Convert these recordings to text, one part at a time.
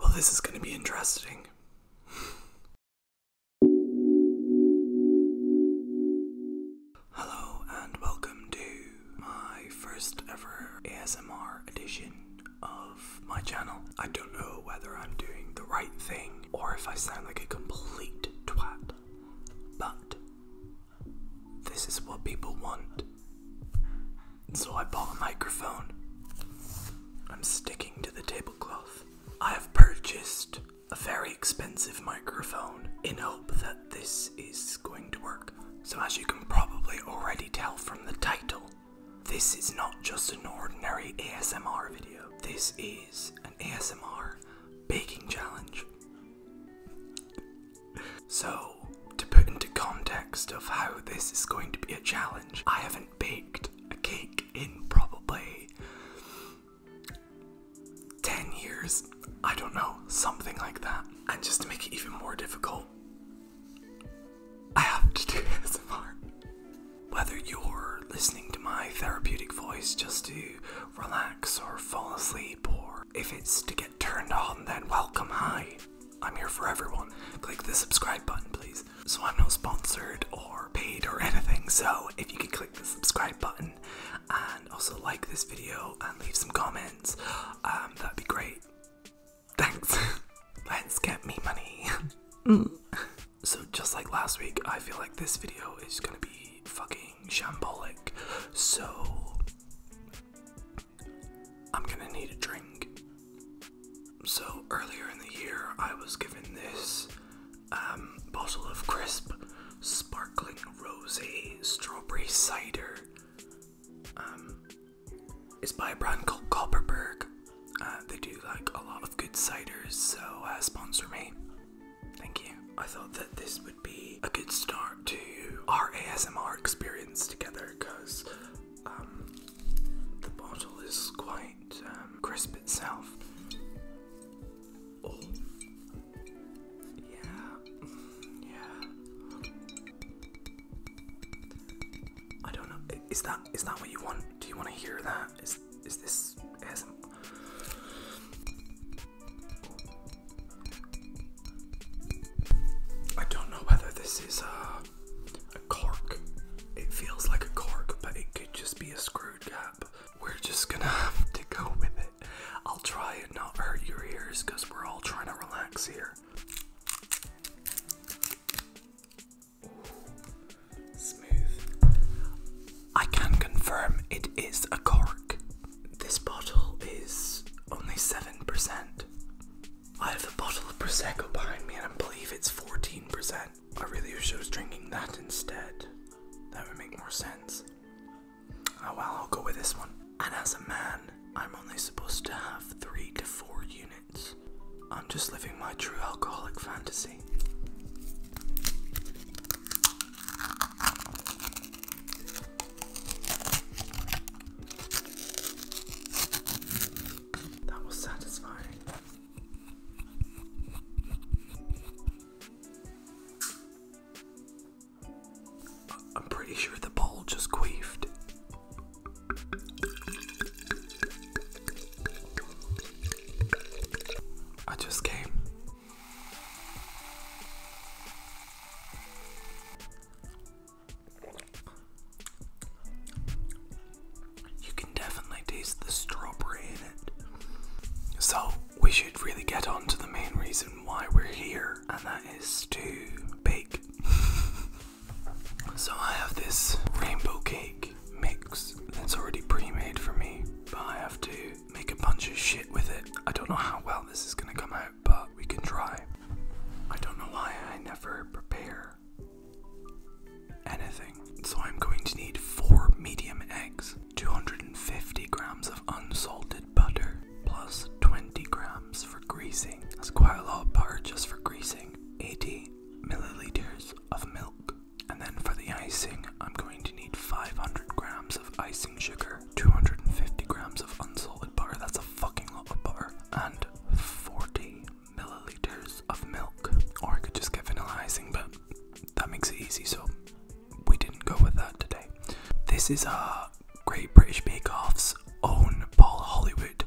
Well, this is going to be interesting. Hello, and welcome to my first ever ASMR edition of my channel. I don't know whether I'm doing the right thing or if I sound like a complete twat, but this is what people want. So I bought a microphone. I'm sticking to the tablecloth. I have purchased a very expensive microphone in hope that this is going to work. So, as you can probably already tell from the title, this is not just an ordinary ASMR video, this is an ASMR baking challenge. So, to put into context of how this is going to be a challenge, I have an baked a cake in probably 10 years. I don't know, something like that. And just to make it even more difficult, I have to do ASMR. Whether you're listening to my therapeutic voice just to relax or fall asleep, or if it's to get turned on, then welcome, hi. I'm here for everyone. Click the subscribe button, please. So I'm not sponsored or paid or anything, so if you could click the subscribe button and also like this video and leave some comments, um, that'd be great. Thanks. Let's get me money. Mm. So just like last week, I feel like this video is gonna be fucking shambolic. So I'm gonna need a drink. So, earlier in the year, I was given this um, bottle of crisp, sparkling rose strawberry cider. Um, it's by a brand called Copperberg. Uh, they do like a lot of good ciders, so uh, sponsor me. Thank you. I thought that this would be a good start to our ASMR experience together because um, the bottle is quite um, crisp itself. Oh. yeah, yeah. I don't know. Is that is that what you want? Do you want to hear that? Is is this I don't know whether this is uh a cork. It feels like a cork, but it could just be a screw cap. We're just gonna have to go with it. I'll try and not hurt your ears because we're all trying to relax here. smooth. I can confirm it is a cork. This bottle is only 7%. I have the bottle of Prosecco behind me and I believe it's 14%. I really wish I was drinking that instead. That would make more sense. Oh well, I'll go with this one. And as a man, I'm only supposed to have three to four units. I'm just living my true alcoholic fantasy. That was satisfying. I'm pretty sure the bowl just queefed. I just came. You can definitely taste the strawberry in it. So, we should really get on to the main reason why we're here, and that is to bake. so, I have this rainbow cake mix that's already pre made for me, but I have to make a bunch of shit with it. I don't know how well this is gonna come out, but we can try. I don't know why I never prepare anything. So I'm going to need four medium eggs, 250 grams of unsalted butter, plus 20 grams for greasing. That's quite a lot of butter just for greasing. 80 milliliters of milk. And then for the icing, I'm going to need 500 grams of icing sugar, 250 grams of unsalted butter. That's a fucking lot of butter and 40 milliliters of milk. Or I could just get vanilla icing, but that makes it easy, so we didn't go with that today. This is our Great British Bake Off's own Paul Hollywood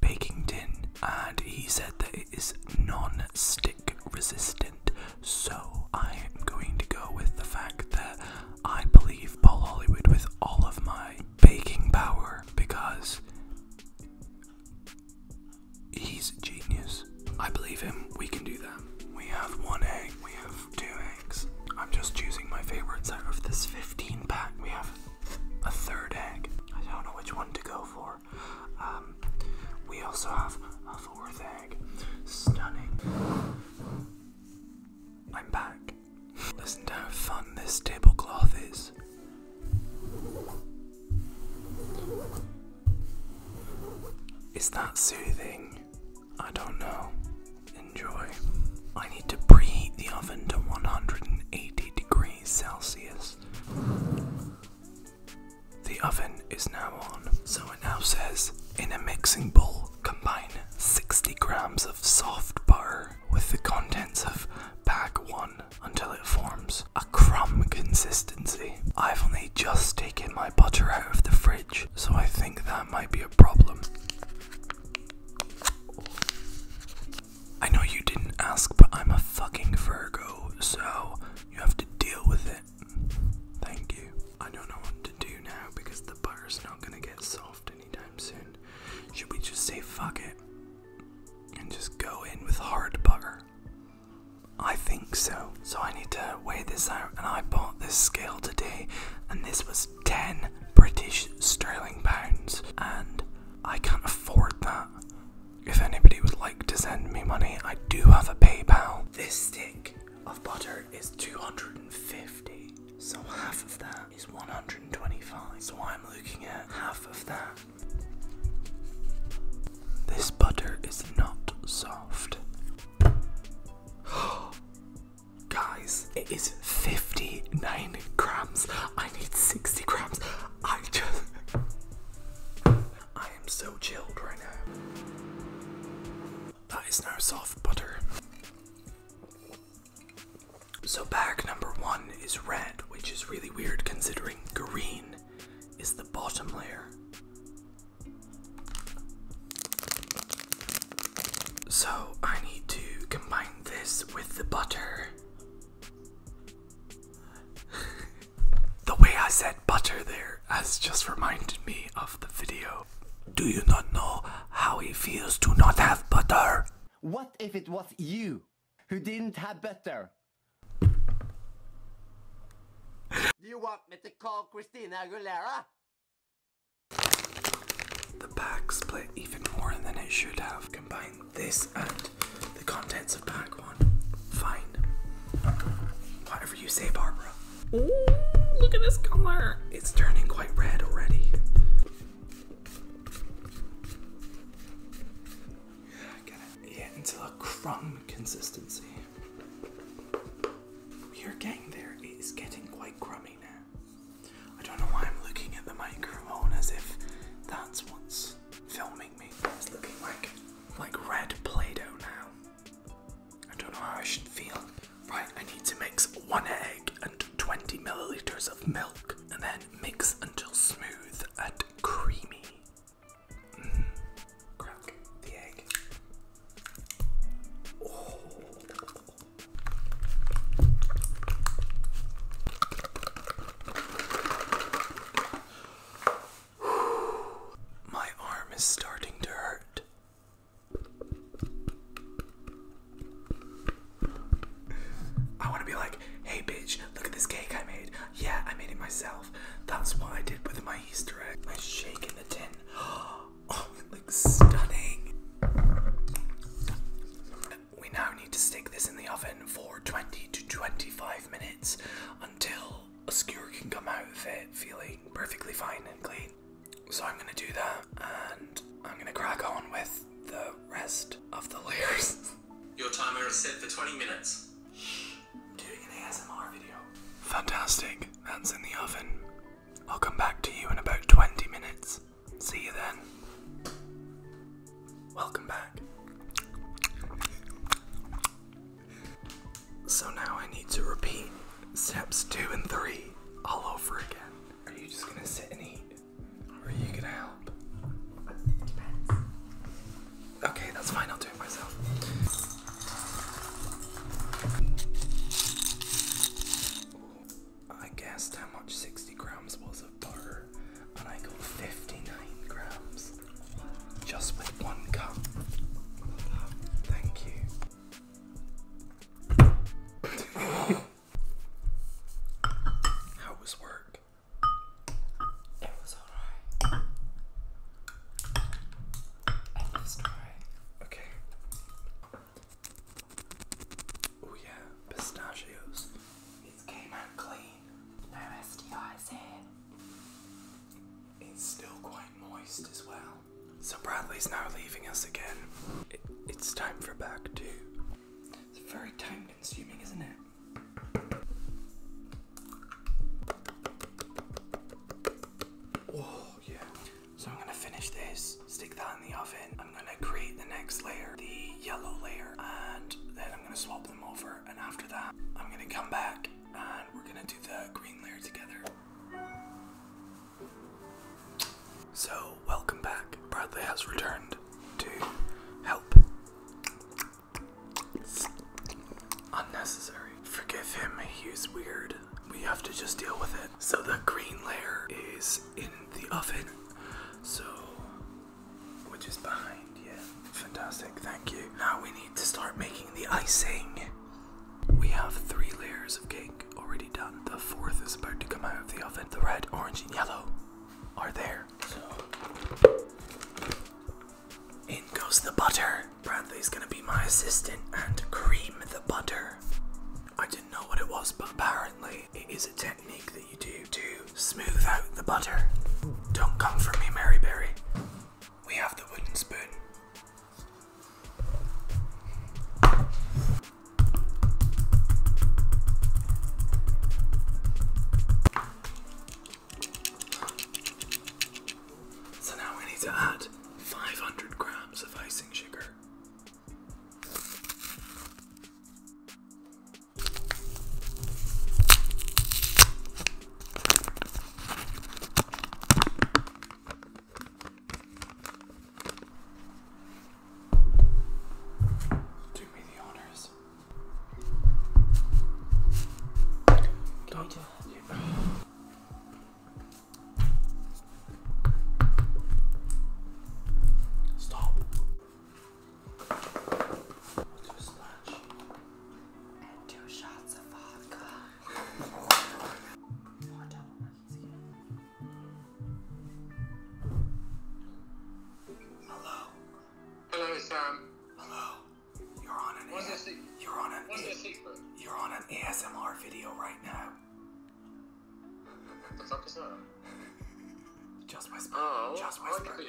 baking tin, and he said that it is non stick resistant. So I am going to go with the fact that I believe Paul Hollywood with all of my baking power because he's genius. I believe him. We can do that. We have one egg. We have two eggs. I'm just choosing my favorites out of this 15 pack. We have a third egg. I don't know which one to go for. Um, we also have a fourth egg. Stunning. I'm back. Listen to how fun this tablecloth is. Is that soothing? I don't know. Enjoy. I need to preheat the oven to 180 degrees Celsius. The oven is now on, so it now says in a mixing bowl combine 60 grams of soft butter with the contents of bag 1 until it forms a crumb consistency. I've only just taken my butter out of the fridge, so I think that might be a problem. I know you didn't ask, but I'm a fucking Virgo, so you have to deal with it. Thank you. I don't know what to do now because the butter's not gonna get soft anytime soon. Should we just say fuck it and just go in with hard butter? I think so. So I need to weigh this out, and I bought this scale today, and this was 10 British sterling pounds, and I can't afford that. If anybody would like to send me money, I do have a PayPal. This stick of butter is 250. So half of that is 125. So I'm looking at half of that. This butter is not soft. Guys, it is 59 grams. I need 60 grams. I just. I am so chilled right now. That is now soft butter. So, bag number one is red, which is really weird considering green is the bottom layer. So, I need to combine this with the butter. the way I said butter there has just reminded me of the video. Do you not know how it feels to not have butter? What if it was you who didn't have better? Do you want me to call Christina Aguilera? The pack split even more than it should have. Combine this and the contents of pack one. Fine. Whatever you say, Barbara. Ooh, look at this color. It's turning quite red already. Get yeah, until a crumb consistency. We are getting there. It is getting quite crummy now. I don't know why I'm looking at the microphone as if that's what's filming me. It's looking like like red play-doh now. I don't know how I should feel. Right, I need to mix one egg and Twenty milliliters of milk and then mix until smooth and creamy. Mm. Crack the egg. Oh. My arm is starting to hurt. I want to be like, hey bitch, look at this cake I made. Yeah, I made it myself. That's what I did with my Easter egg. My shake in the tin. Oh, it looks stunning. We now need to stick this in the oven for 20 to 25 minutes until a skewer can come out of it feeling perfectly fine and clean. So I'm gonna do that and I'm gonna crack on with the rest of the layers. Your timer is set for 20 minutes. Doing an ASMR video. Fantastic, that's in the oven. I'll come back to you in about 20 minutes. See you then. Welcome back. So now I need to repeat steps two and three all over again. Are you just gonna sit and eat? are you gonna help? Okay, that's fine, I'll do it myself. I guessed how much 60 grams was of butter, and I got 59 grams just with one cup. Thank you. How was work? It was alright. Okay. Oh yeah, pistachios. It came out clean. No STIs It's still quite moist as well. So Bradley's now leaving us again it's time for back two. It's very time consuming, isn't it? Oh, yeah. So I'm gonna finish this, stick that in the oven. I'm gonna create the next layer, the yellow layer, and then I'm gonna swap them over. And after that, I'm gonna come back and we're gonna do the green layer together. So, welcome back. Bradley has returned to help. Unnecessary. Forgive him, He's weird. We have to just deal with it. So, the green layer is in the oven. So, which is behind, yeah. Fantastic, thank you. Now we need to start making the icing. We have three layers of cake already done. The fourth is about to come out of the oven. The red, orange, and yellow are there. So in goes the butter. Bradley's gonna be my assistant and cream the butter. I didn't know what it was, but apparently it is a technique that you do to smooth out the butter. Don't come for me, Mary Berry. We have the wooden spoon. So now we need to add 500 grams of icing sugar. Do me the honors. Don't do yeah. Stop. We'll do a splash. And two shots of vodka. One double Hello. Hello, Sam. Hello. You're on an. What's You're on an. What's You're on an ASMR video right now. What the fuck is that? Just whisper. Oh, just whisper.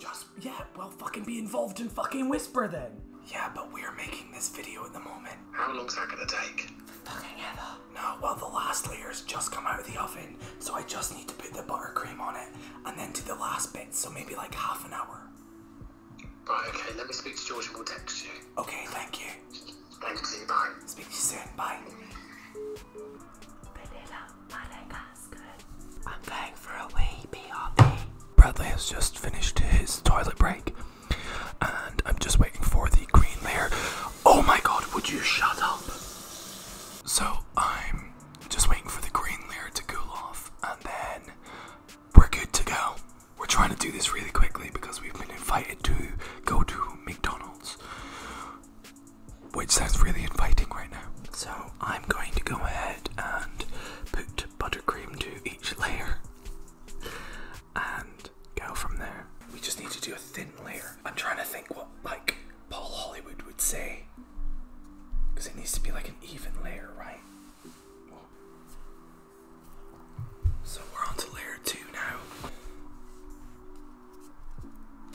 Just yeah. Well, fucking be involved in fucking whisper then. Yeah, but we're making this video at the moment. How long's that gonna take? Fucking ever. No, well, the last layer's just come out of the oven, so I just need to put the buttercream on it and then do the last bit, so maybe like half an hour. Right, okay, let me speak to George and we'll text you. Okay, thank you. Thanks, bye. Speak to you soon, bye. Bradley has just finished his toilet break and I'm just waiting for the green layer. Oh my god, would you shut up? So I'm just waiting for the green layer to cool off and then we're good to go. We're trying to do this really quickly because we've been invited to go to McDonald's, which sounds really inviting right now. So I'm going to go ahead and put buttercream to each layer and go from there. We just need to do a thin layer. I'm trying to think what like Paul Hollywood would say. Because it needs to be like an even layer, right? So we're on to layer two now.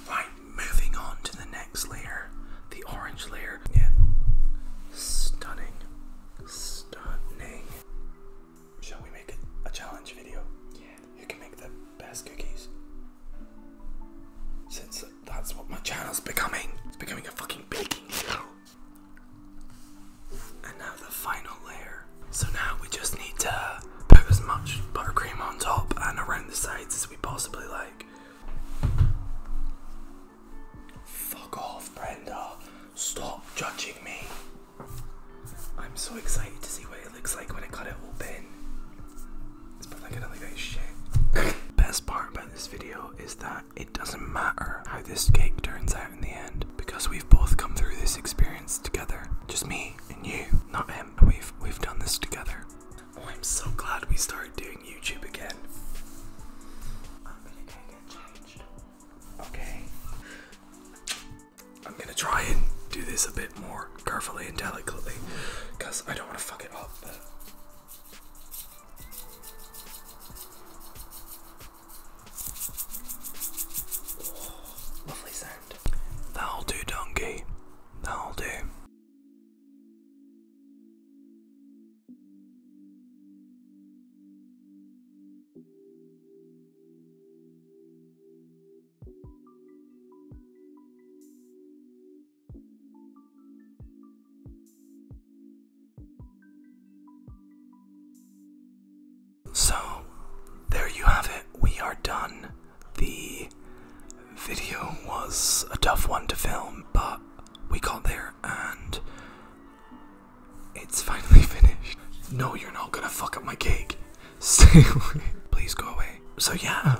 Right, moving on to the next layer, the orange layer. Yeah. Stunning. Stunning. Shall we make a, a challenge video? Yeah. You can make the best cookies. Since that's what my channel's becoming. It's becoming a fucking baking show. And now the final layer. So now we just need to put as much buttercream on top and around the sides as we possibly like. Fuck off, Brenda. Stop judging me. I'm so excited to see what it looks like when I cut it open. It's probably gonna look like shit. Best part about this video is that it doesn't matter how this cake turns out in the end because we've both come through this experience together. Just me and you, not him. We've we've done this together. Oh, I'm so glad we started doing YouTube again. Okay. I'm gonna try and do this a bit more carefully and delicately because I don't want to fuck it up. Oh, lovely sound. That'll do, donkey. That'll do. So, there you have it. We are done. The video was a tough one to film, but we got there and it's finally finished. No, you're not gonna fuck up my cake. Stay Please go away. So, yeah.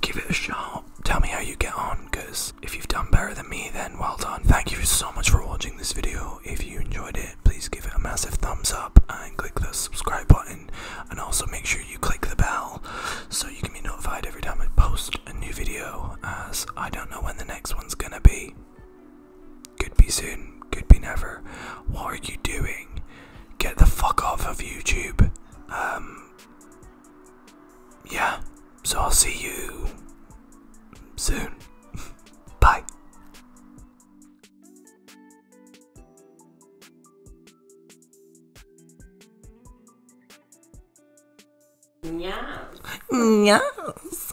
Give it a shot. Tell me how you get on, because if you've done better than me, then well done. Thank you so much for watching this video. If you enjoyed it, please give it a massive thumbs up and click the subscribe button. And also make sure you click the bell so you can be notified every time I post a new video, as I don't know when the next one's gonna be. Could be soon, could be never. What are you doing? Get the fuck off of YouTube. Um, yeah, so I'll see you soon. Bye. Yes. Yes.